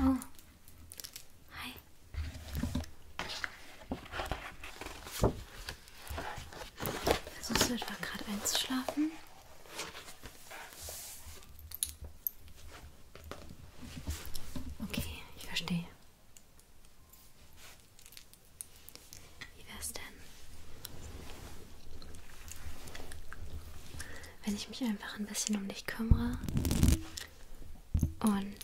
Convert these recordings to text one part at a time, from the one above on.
Oh. Hi. Versuchst du etwa gerade einzuschlafen? Okay, ich verstehe. Wie wär's denn? Wenn ich mich einfach ein bisschen um dich kümmere und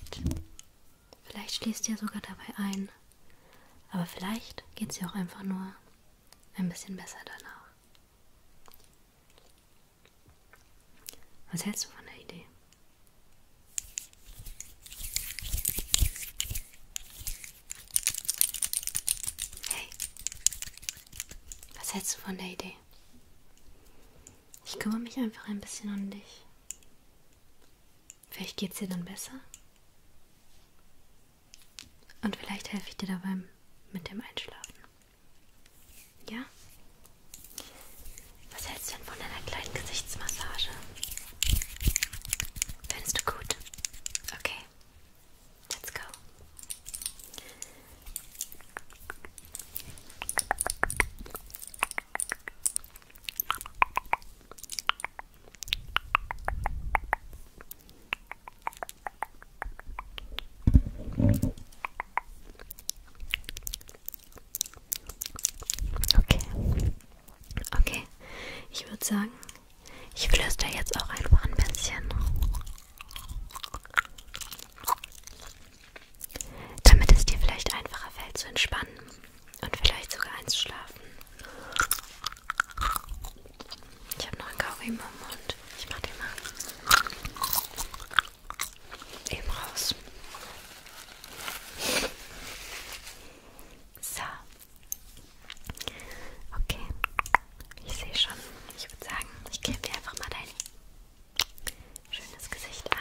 vielleicht schließt dir sogar dabei ein, aber vielleicht geht's dir auch einfach nur ein bisschen besser danach. Was hältst du von der Idee? Hey, was hältst du von der Idee? Ich kümmere mich einfach ein bisschen um dich. Vielleicht geht's dir dann besser. Und vielleicht helfe ich dir dabei mit dem Einschlafen. Ja? Was hältst du denn von einer kleinen Gesichtsmassage? Findest du gut? Okay. Let's go. Okay. Okay. Ich würde sagen, ich flüstere jetzt auch einfach ein bisschen. Damit es dir vielleicht einfacher fällt zu entspannen und vielleicht sogar einzuschlafen. Ich habe noch einen Kaugummi im Mund. Ich mach den mal eben raus. So. Okay. Ich sehe schon. Ich würde sagen, ich gebe dir einfach mal dein schönes Gesicht ein.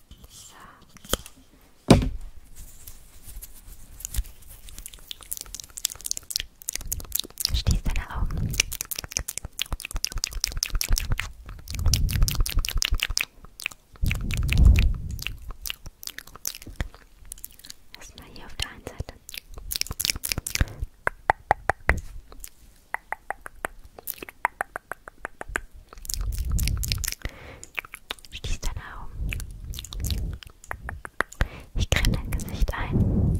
So. Schließ deine Augen. Erstmal hier auf der einen Seite. Schließ deine Augen. Ich creme dein Gesicht ein.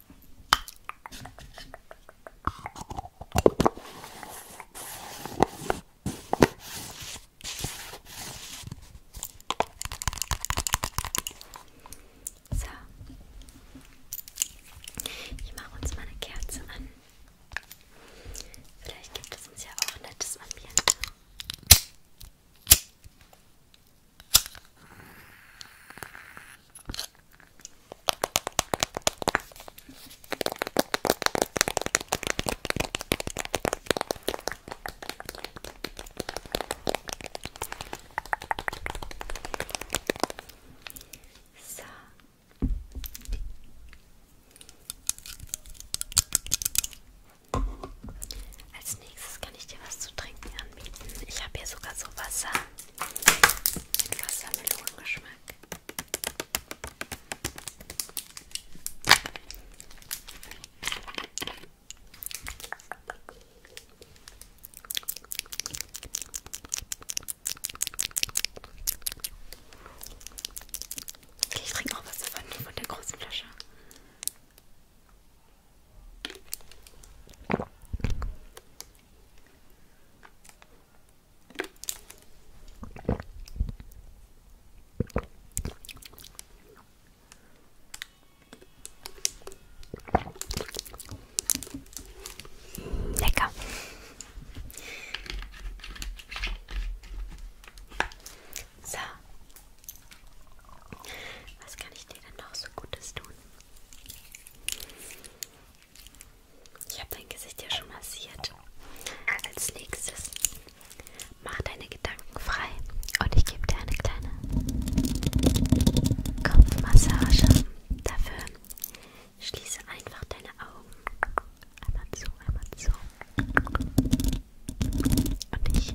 So. Ich mache uns mal eine Kerze an. Vielleicht gibt es uns ja auch ein nettes Ambiente. So. Als nächstes kann ich dir was zu trinken anbieten. Ich habe hier sogar so Wasser mit Wassermelonengeschmack. Okay, ich trinke auch was von, von der großen Flasche. Lecker. So. Was kann ich dir denn noch so Gutes tun? Ich habe dein Gesicht ja schon massiert. Als nächstes mach deine Gedanken frei und ich gebe dir eine kleine Kopfmassage. Dafür schließe einfach deine Augen. Einmal zu, einmal zu. Und ich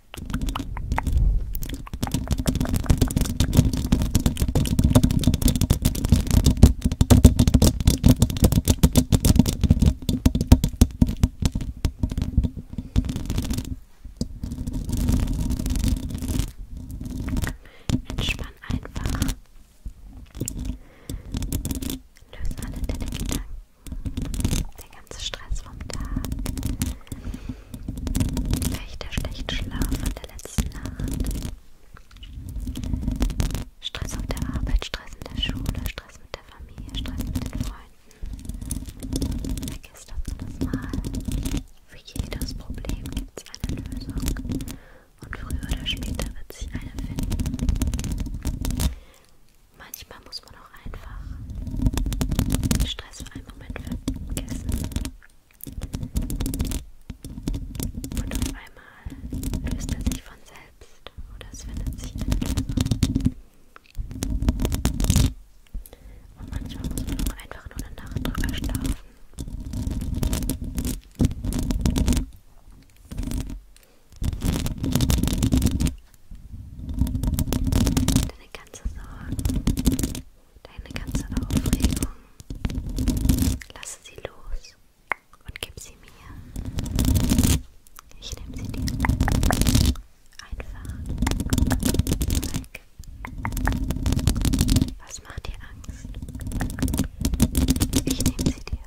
Entspann einfach. Löse alle deine Gedanken. Der ganze Stress vom Tag. Vielleicht der schlechte Schlaf von der letzten Nacht. Stress auf der Arbeit, Stress in der Schule, Stress mit der Familie, Stress mit den Freunden. Vergesst uns das mal. Für jedes Problem gibt es eine Lösung. Und früher oder später wird sich eine finden. Manchmal muss man auch einfach den Stress für einen Moment vergessen. Und auf einmal löst er sich von selbst oder es findet sich eine Lösung. Und manchmal muss man auch einfach nur eine Nacht drüber schlafen. Deine ganze Sorgen, deine ganze Aufregung, lasse sie los und gib sie mir. Ich nehme sie dir einfach weg. Was macht dir Angst? Ich nehme sie dir weg.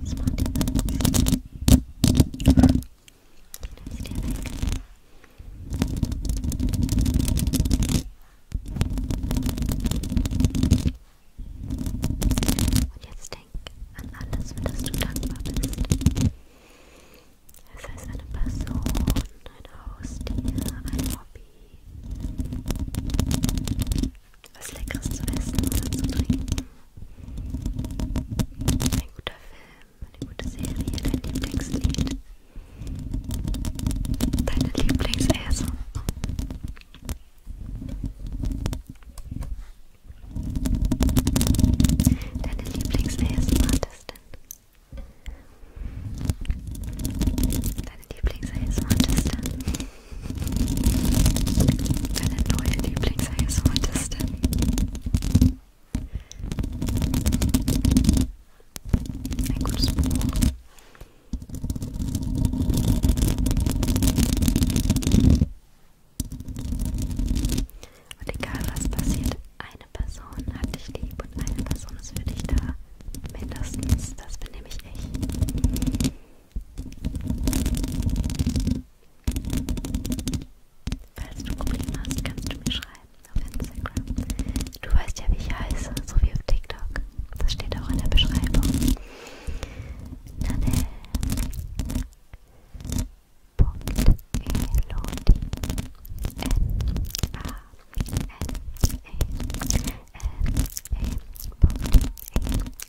Was macht dir Angst? Dann ist der weg. Und jetzt denk an alles, für das du dankbar bist. Das heißt eine Person, ein Haustier, ein Hobby, was Leckeres zu essen oder zu trinken. Ein guter Film, eine gute Serie, dein Lieblingslied. Deine Lieblingsäse. Deine Lieblings-ASM-Artistin. Deine Lieblings-ASM-Artistin. Deine neue Lieblings-ASM-Artistin. Als Heilsrotistin. Ein gutes Buch. Und egal was passiert, eine Person hat dich lieb und eine Person ist für dich da. Mindestens, das bin nämlich ich. Falls du Probleme hast, kannst du mir schreiben auf Instagram. Du weißt ja, wie ich heiße, so wie auf TikTok. Das steht auch in der Beschreibung. Nanel. Elodie. N-A. N-E-N-E. E Punkt. E. e, e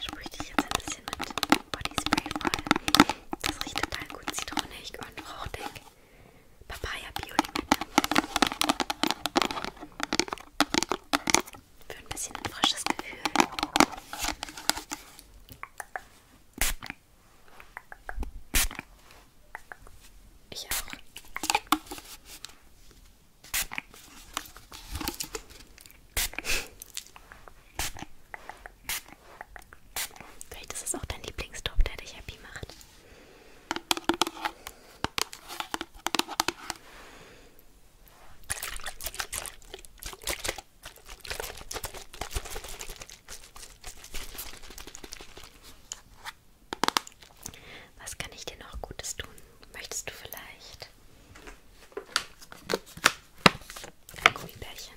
Sprühe dich jetzt ein bisschen mit Bodyspray voll. Das riecht total gut zitronig und fruchtig. Papaya Bio-Limette. Für ein bisschen ein frisches Gefühl. Ich auch. Vielleicht ist es auch dein Lieblingstop, der dich happy macht. Was kann ich dir noch Gutes tun? Möchtest du vielleicht ein Gummibärchen?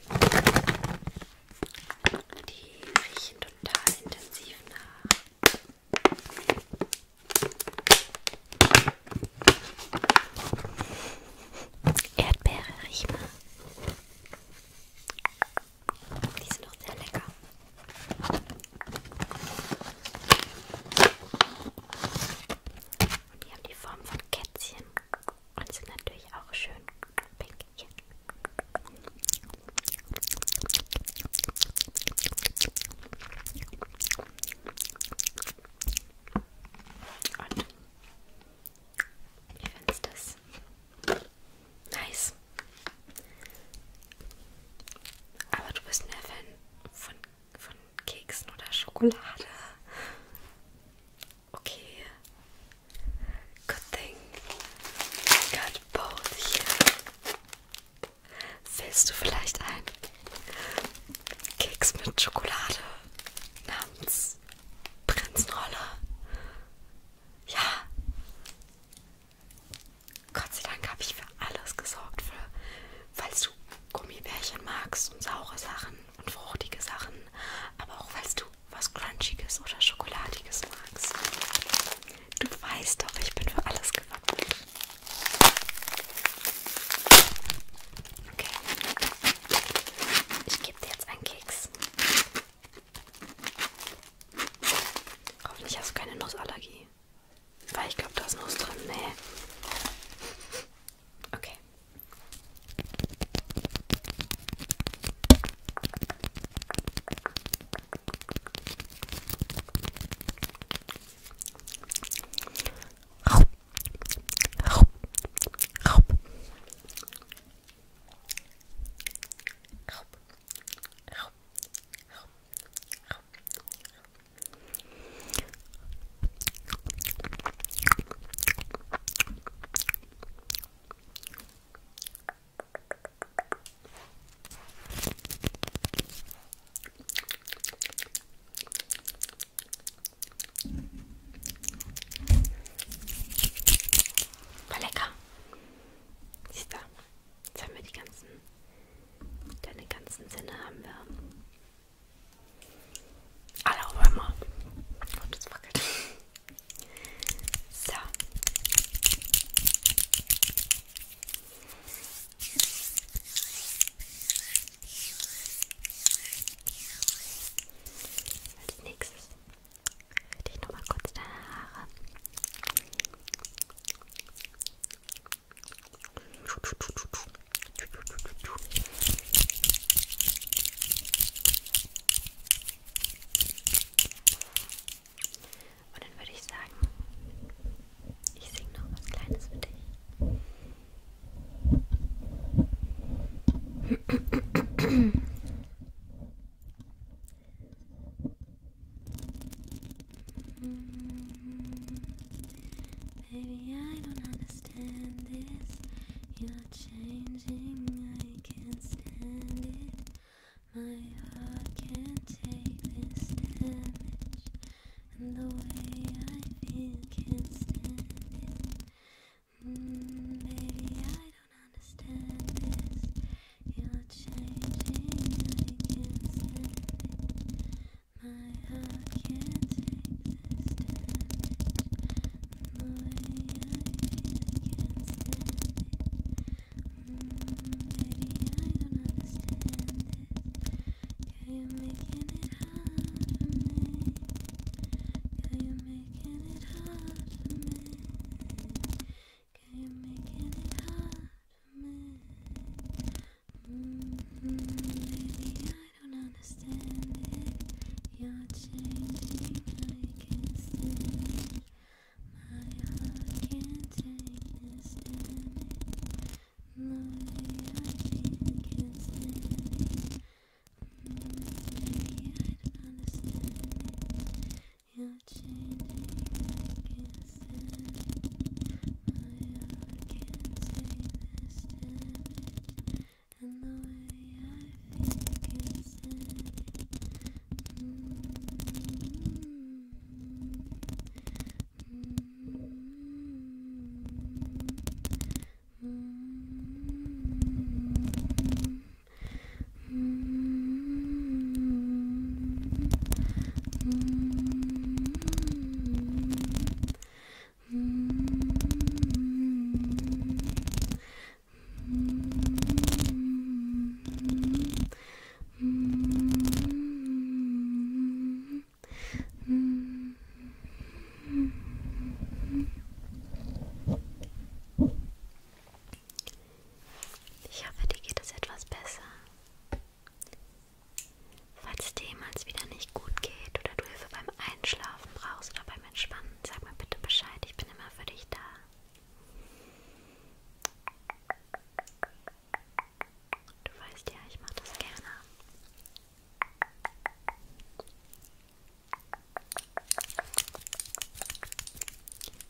Die riechen total intensiv nach. Erdbeere riech mal. Die sind doch sehr lecker. Und die haben die Form von Kätzchen und sind natürlich auch schön pink. Hier. Und wie findest du das? Nice. Aber du bist mehr Fan von von Keksen oder Schokolade. Okay. Good thing. I got both here. Willst du vielleicht einen Keks mit Schokolade namens Prinzenrolle? Ja. Gott sei Dank habe ich für alles gesorgt, für, falls du Gummibärchen magst und saure Sachen und fruchtige Sachen, aber auch falls du was Crunchiges oder Schokoladiges magst. Du weißt doch, ich bin für alles gewappnet. Okay. Ich gebe dir jetzt einen Keks. Hoffentlich hast du keine Nussallergie. Weil ich glaube, da ist noch was drin. Nee. Okay. Raub. Raub. Raub. Raub. Raub. Raub. War lecker. Siehst du, jetzt haben wir die ganzen Deine ganzen Sinne haben wir. Alle Römer. Und es wackelt. So. Als nächstes würde ich nochmal kurz deine Haare und dann würde ich sagen, ich singe noch was Kleines für dich. Baby, I don't understand this. You're changing, I can't stand it. My heart can't take this damage, and the way I feel can't stand it. Mm, baby, I don't understand this. You're changing, I can My heart can't take this damage. The way I feel, can't stand it. Mm, baby, I don't understand it. Girl, you're making it hard for me. Girl, you're making it hard for me. Keep I don't understand it. You're changing, I can't stand it. My heart can't take this damage. No way I can't, stand it. Mm I don't understand you're changing, I can't can't take this damage. And the way I feel can't Ich hoffe, dir geht es etwas besser. Falls dir jemals wieder nicht gut geht oder du Hilfe beim Einschlafen brauchst oder beim Entspannen, sag mir bitte Bescheid, ich bin immer für dich da. Du weißt ja, ich mache das gerne.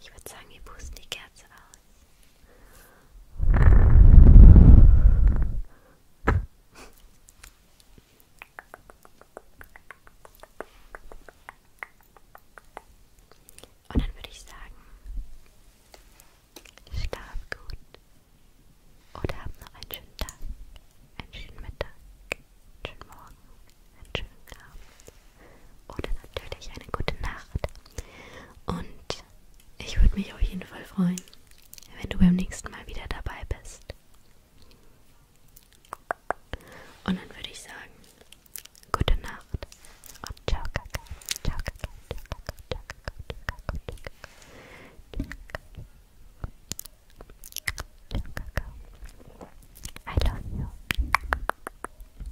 Ich würde sagen, wir pusten die Kerze aus. Und dann würde ich sagen, schlaf gut oder hab noch einen schönen Tag, einen schönen Mittag, einen schönen Morgen, einen schönen Abend oder natürlich eine gute Nacht. Und ich würde mich auf jeden Fall freuen, wenn du beim nächsten Mal wieder dabei bist. Und dann würde ich sagen, gute Nacht und ciao, Kaka. Ciao, Kaka. Ciao, Kaka. Ciao, Kaka. Ciao, Kaka. Ciao, Kaka. I love you.